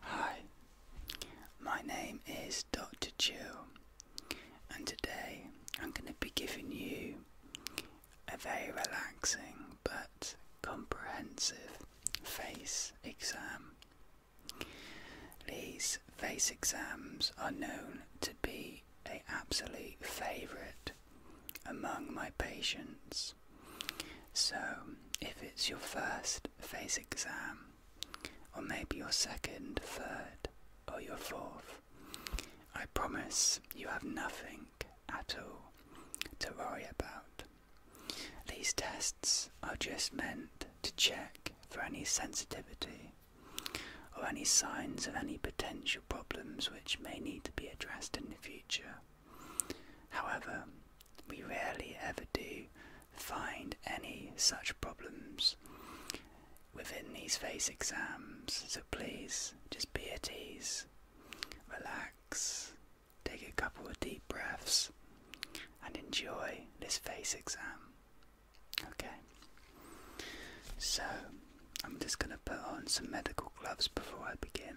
Hi, my name is Dr. Chill, and today I'm going to be giving you a very relaxing but comprehensive face exam. These face exams are known to be an absolute favourite among my patients. So, if it's your first phase exam, or maybe your second, third, or your fourth, I promise you have nothing at all to worry about. These tests are just meant to check for any sensitivity or any signs of any potential problems which may need to be addressed in the future. However, we rarely ever do find any such problems within these face exams, so please just be at ease, relax, take a couple of deep breaths, and enjoy this face exam. Okay, so I'm just going to put on some medical gloves before I begin.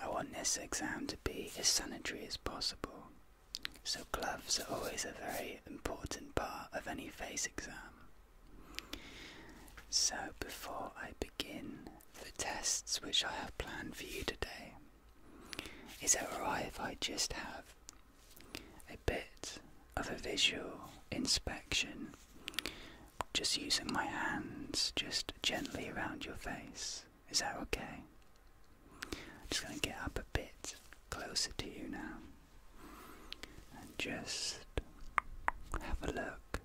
I want this exam to be as sanitary as possible. So, gloves are always a very important part of any face exam. So, before I begin the tests which I have planned for you today, is it alright if I just have a bit of a visual inspection? Just using my hands just gently around your face. Is that okay? I'm just going to get up a bit closer to you now and just have a look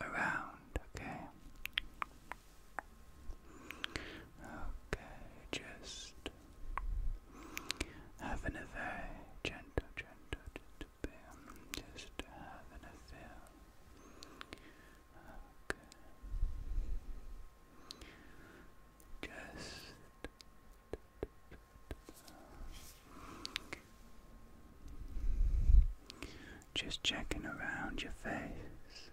around, okay? Okay, just having a very gentle, gentle, gentle just to have an Okay. Just just checking around your face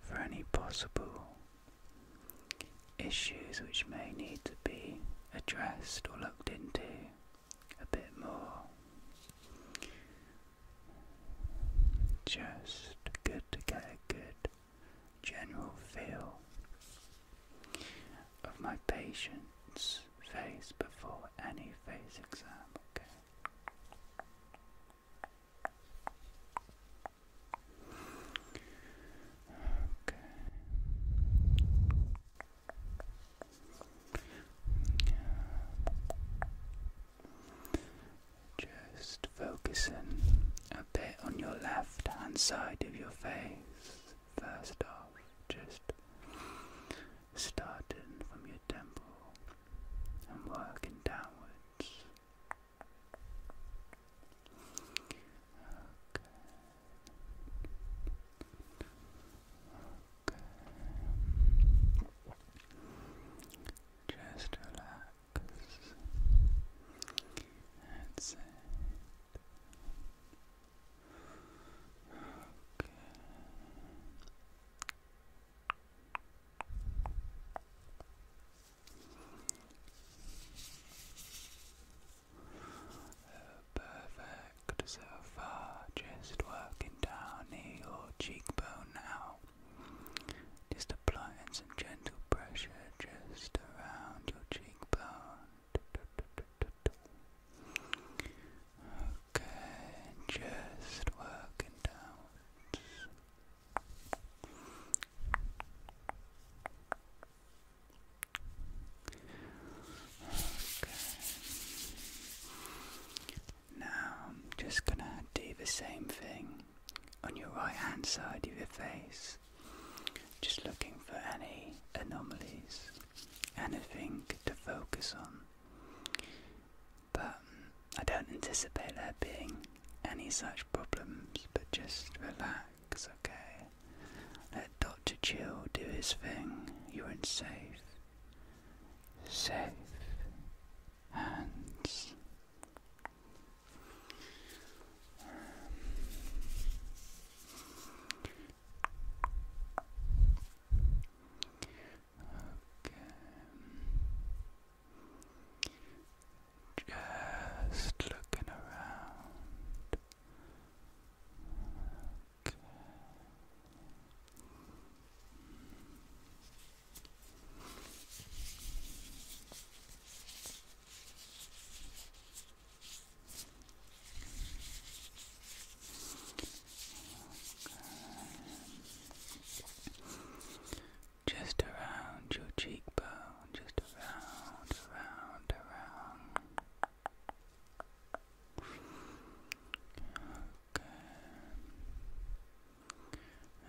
for any possible issues which may need to be addressed or looked into a bit more. Just good to get a good general feel of my patient's face before any face exam, okay? Okay. Just focusing a bit on your left hand side of your face first off, just starting from your temple and working downwards. Okay. Just relax. That's Okay perfect so far. Just working down knee cheekbone now. Just applying some gentle pressure just around your cheekbone. Okay, just working down. Now I'm just gonna do the same thing on your right hand side of your face. Just looking for any anomalies, anything to focus on. But I don't anticipate there being any such problems, but just relax, okay? Let Dr. Chill do his thing. You're in safe safe hands. okay. Just looking around. Just around your cheekbone, just around, around, around. Okay.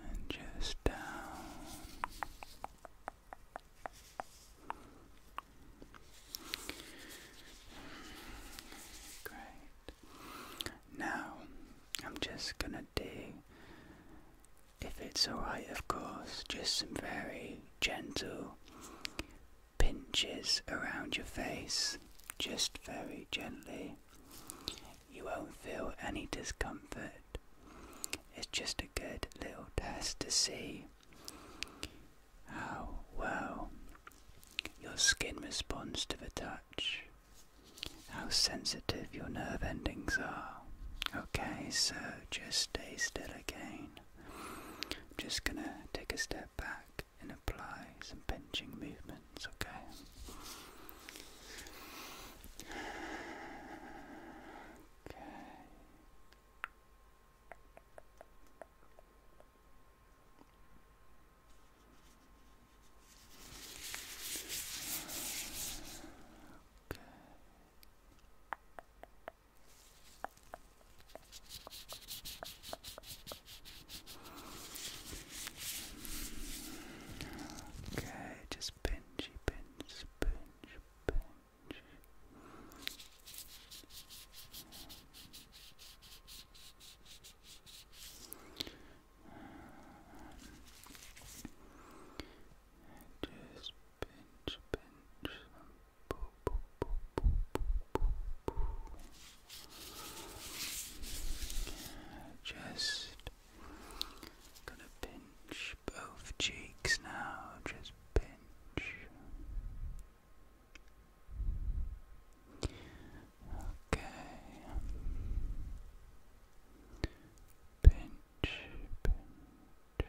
And just down. Great. Now, I'm just gonna do, if it's alright, of course, just some very gentle pinches around your face, just very gently. You won't feel any discomfort. It's just a good little test to see how well your skin responds to the touch, how sensitive your nerve endings are. Okay, so just stay still again. I'm just gonna take a step back and apply some pinching movements, okay? Okay. Okay. Okay, just pinchy, pinch, pinch, pinch. Just pinch, pinch just gonna pinch both cheeks now, just pinch. Okay. Pinch, pinch.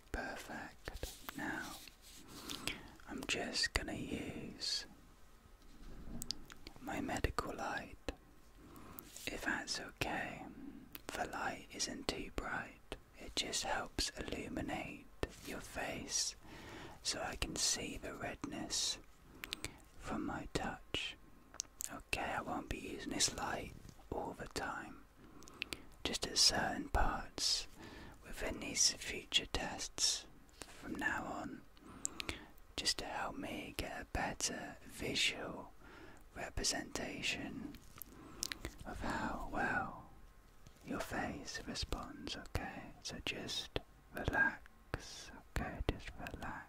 Perfect. Now, I'm just gonna use my medical light, if that's okay. The light isn't too bright, it just helps illuminate your face so I can see the redness from my touch. Okay, I won't be using this light all the time just at certain parts within these future tests from now on, just to help me get a better visual representation of how well your face responds, okay? So just relax, okay? Just relax.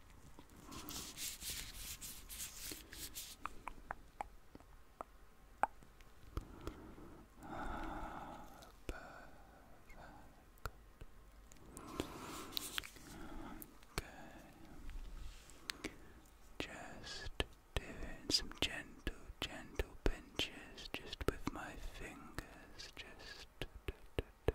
Okay. Just doing some gentle, gentle pinches just with my fingers, just. Da, da, da.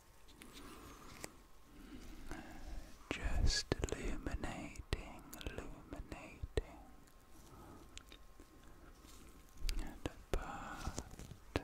Just illuminating, illuminating. And apart. Okay.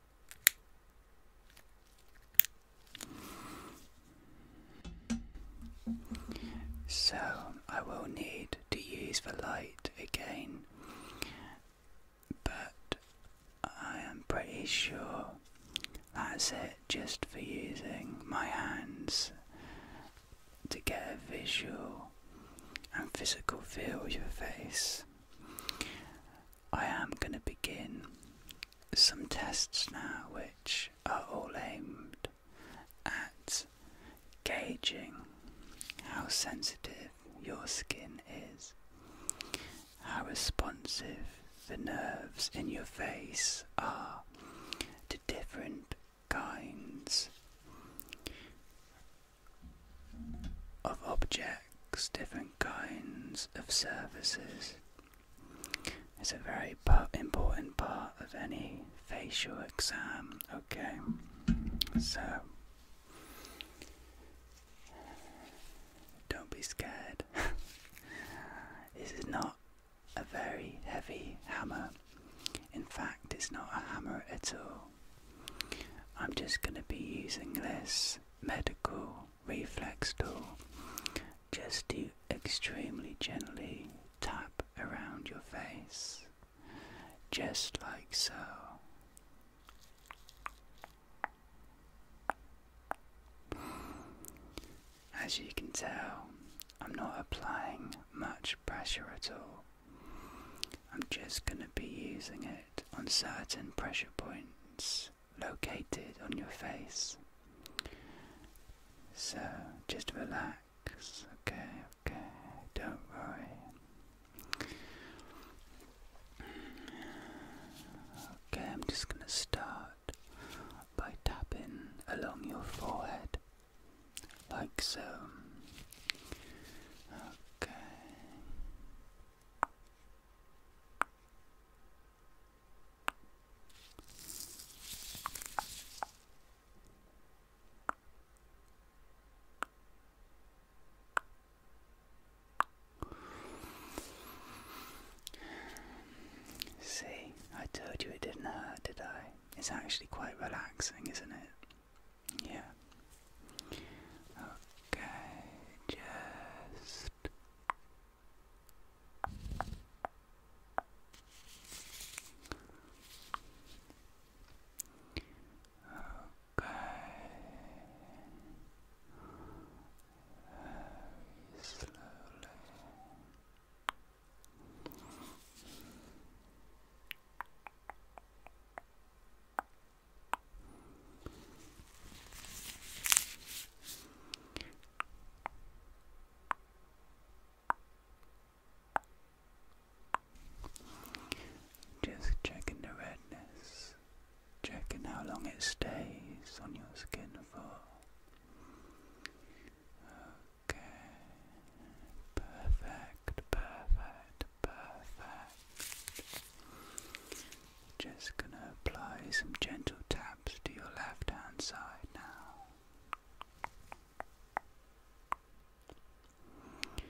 So I will need to use the light again, but I am pretty sure that's it just for using my hands to get a visual and physical feel of your face. I am going to begin some tests now which are all aimed at gauging how sensitive your skin is, how responsive the nerves in your face are to different kinds of objects, different kinds of surfaces. It's a very important part of any facial exam. Okay, so don't be scared. this is not a very heavy hammer. In fact, it's not a hammer at all. I'm just going to be using this medical reflex tool just to extremely gently tap around your face, just like so. As you can tell, I'm not applying much pressure at all. I'm just going to be using it on certain pressure points located on your face. So just relax, okay, okay, don't worry. Okay, I'm just going to start by tapping along your forehead, like so. Okay. See, I told you it didn't hurt, did I? It's actually quite relaxing, isn't it? Yeah. Okay, just Okay. Very slowly. Just checking the redness, checking how long it stays on your skin for. Okay, perfect, perfect, Perfect. Just gonna apply some gentle taps to your left hand side now. Okay.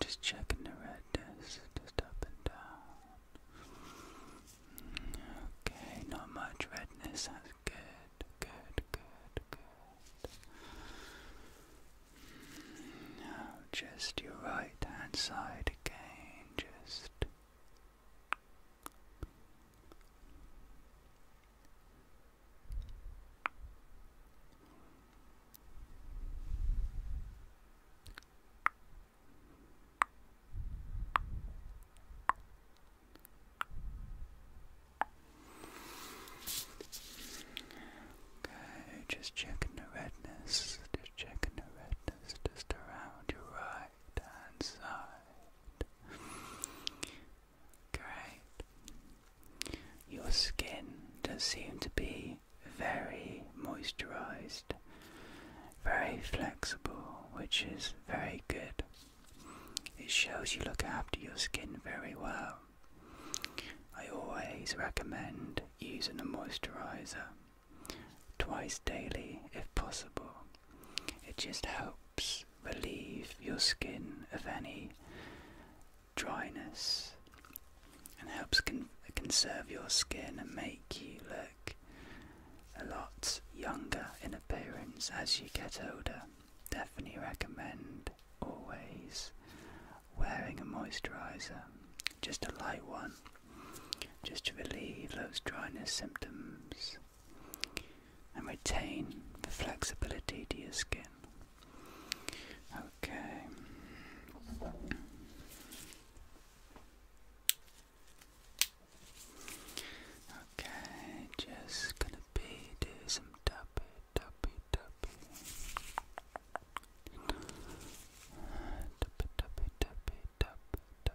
Just checking the redness, just up and down. Okay, not much redness, that's good, good, good, good. Now just your right hand side again, just. Okay, just checking the redness, just checking the redness just around your right hand side. Great. Your skin does seem to be very moisturized, very flexible, which is very good. It shows you look after your skin very well. I always recommend using a moisturizer twice daily if possible. It just helps relieve your skin of any dryness and helps conserve your skin and make you look a lot younger in appearance as you get older. Definitely recommend always wearing a moisturizer, just a light one, just to relieve those dryness symptoms and retain the flexibility to your skin. Okay. Okay, just gonna be do some tappy, tappy, tappy. Tappy, tappy, tappy, tappy, tappy, tappy. Tap,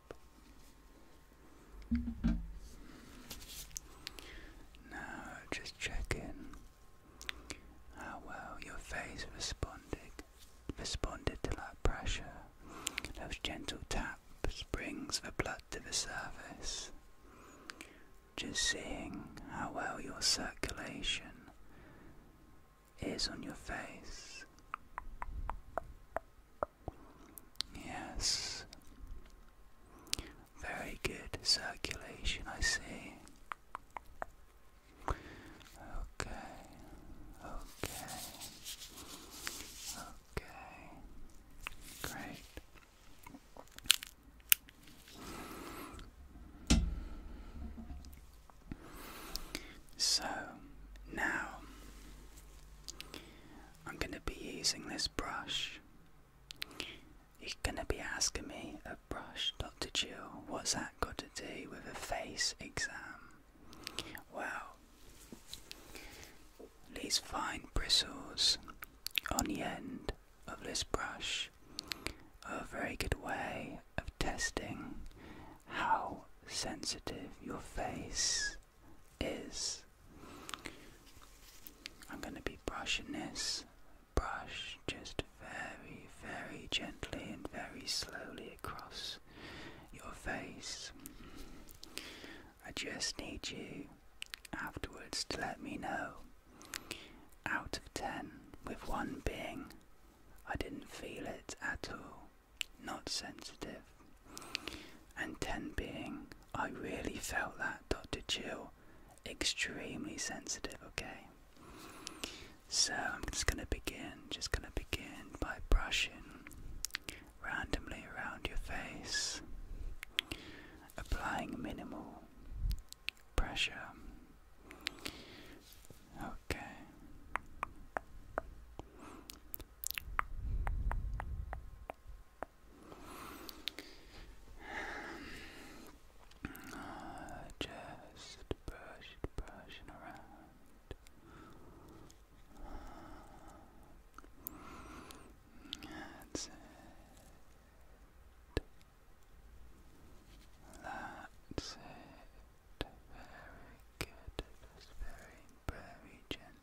Now just check in how well your face responded responded to that pressure. Those gentle taps brings the blood to the surface. Just seeing how well your circulation is on your face. Yes. Very good circulation, I see. Okay. Okay. Okay. Great. So now I'm going to be using this brush. You're going to be asking me a brush, Dr. Jill, what's that got to do with a face exam? Well, these fine bristles on the end of this brush are a very good way of testing how sensitive your face is I'm going to be brushing this brush just very, very gently and very slowly across your face. I just need you afterwards to let me know out of 10, with one being, I didn't feel it at all, not sensitive. And 10 being, I really felt that, Dr. Jill, extremely sensitive, okay? So I'm just gonna begin, just gonna begin by brushing randomly around your face, applying minimal pressure. Okay. Uh, just brush brushing around. that's it. That's it. Very good. very, very gently.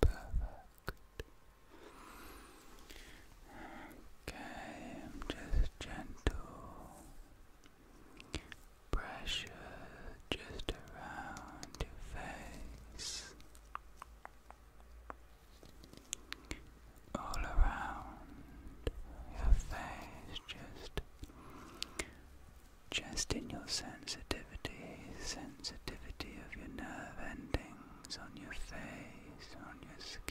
Perfect. Okay, I'm just gentle pressure just around your face all around your face, just just in your sensitivity, sensitivity of your nerve endings on your face, on your skin.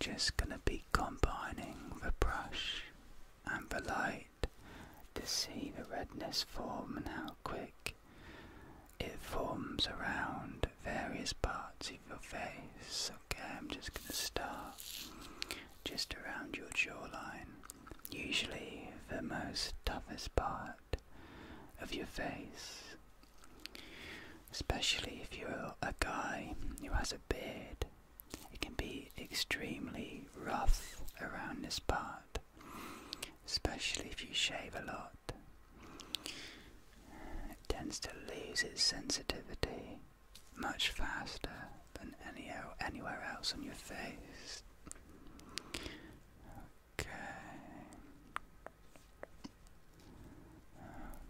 Just gonna be combining the brush and the light to see the redness form and how quick it forms around various parts of your face. Okay, I'm just gonna start just around your jawline. Usually the most toughest part of your face. Especially if you're a guy who has a beard it can be extremely rough around this part, especially if you shave a lot. It tends to lose its sensitivity much faster than any anywhere else on your face. Okay.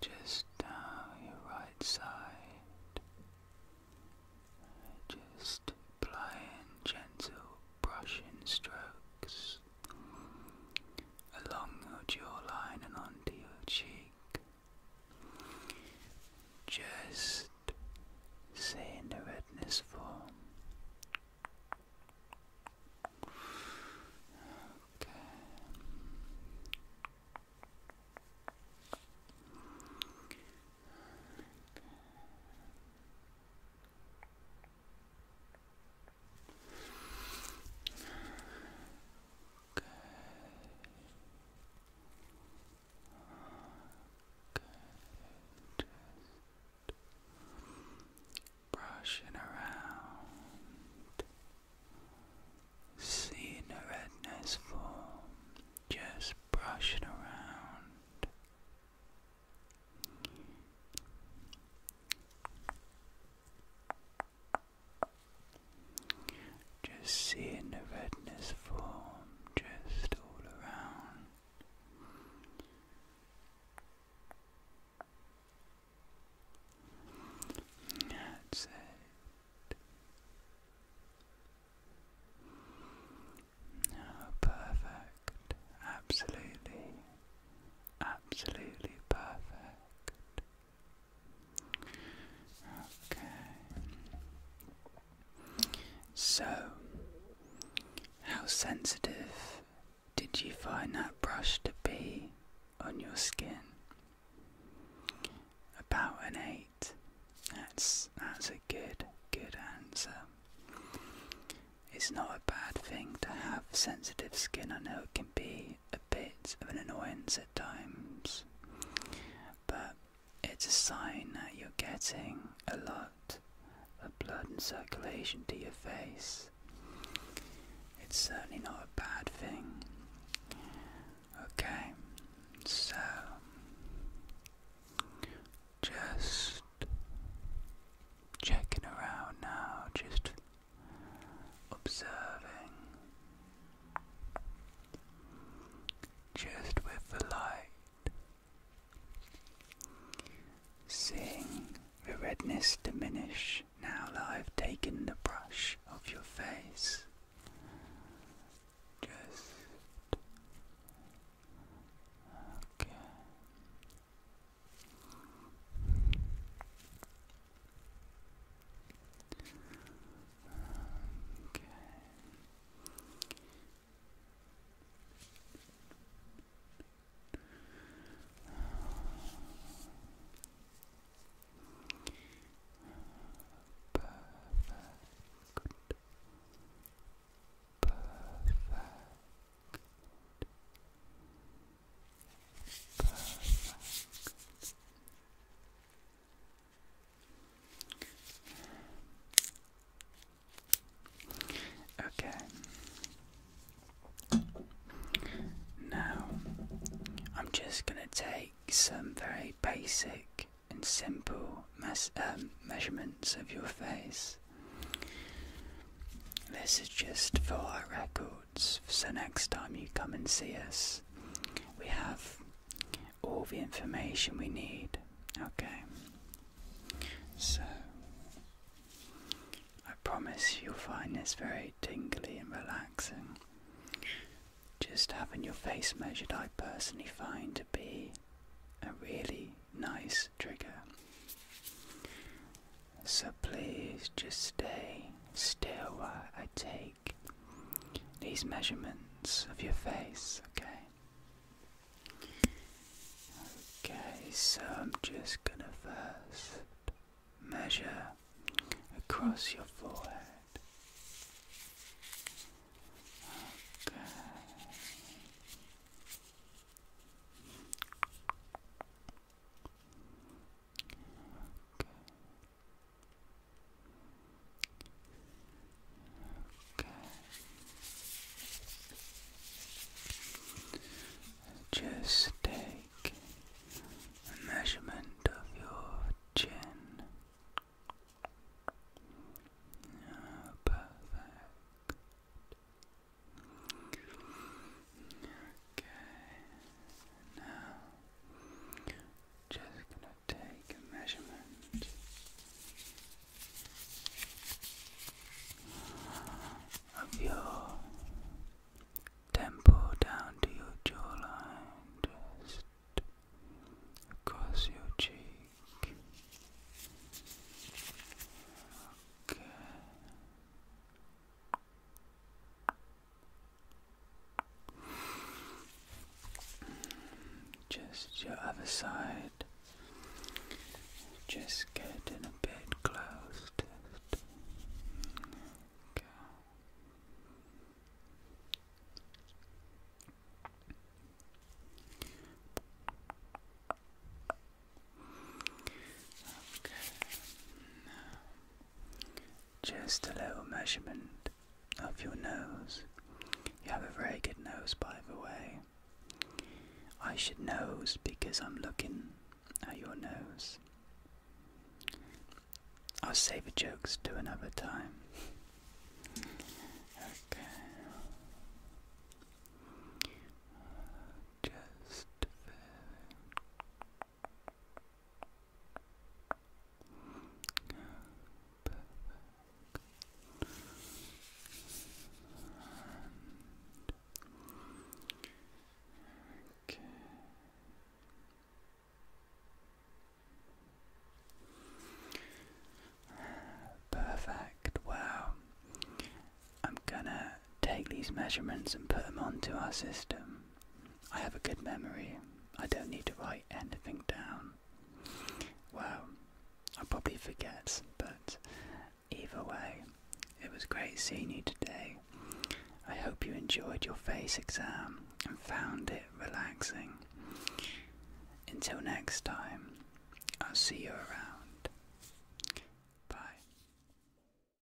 Just down your right side. Just applying gentle brushing strokes along your jawline and onto your cheek. Just say the redness form. okay. Okay. Okay. Just brushing around. Seeing the redness form. Just brushing around. Just seeing the redness form just all around. That's it. perfect. Absolutely, absolutely perfect. Okay. So, how sensitive did you find that brush to be on your skin? About an eight. That's that's a good good answer. It's not a bad thing to have sensitive skin. I know it can be a bit of an annoyance at times, but it's a sign that you're getting a lot of blood and circulation to your face. It's certainly not a bad thing. Okay, so just checking around now, just observing just with the light, seeing the redness diminish now that I've taken the brush of your face. Just okay. Okay. Perfect. Perfect. Perfect. Okay. Now, I'm just going to take some very basic and simple um, measurements of your face. This is just for our record. So next time you come and see us, we have all the information we need. Okay. So I promise you'll find this very tingly and relaxing. Just having your face measured, I personally find to be a really nice trigger. So please just stay still while I take these measurements of your face, okay? Okay, so I'm just gonna first measure across your forehead. Okay. Just take a measurement of your chin. perfect. Okay, now just gonna take a measurement. Of your temple down to your jawline, just across your cheek. Okay. Just your other side. Just getting a bit close Okay. Okay. Just a little measurement of your nose. You have a very good nose, by the way. I should nose because I'm looking at your nose. I'll save the jokes to another time. Okay. Just Perfect. Well, I'm gonna take these measurements and put them onto our system. I have a good memory. I don't need to write anything down. Well, I probably forget, but either way, it was great seeing you today. I hope you enjoyed your face exam and found it relaxing. Until next time, I'll see you around. Bye.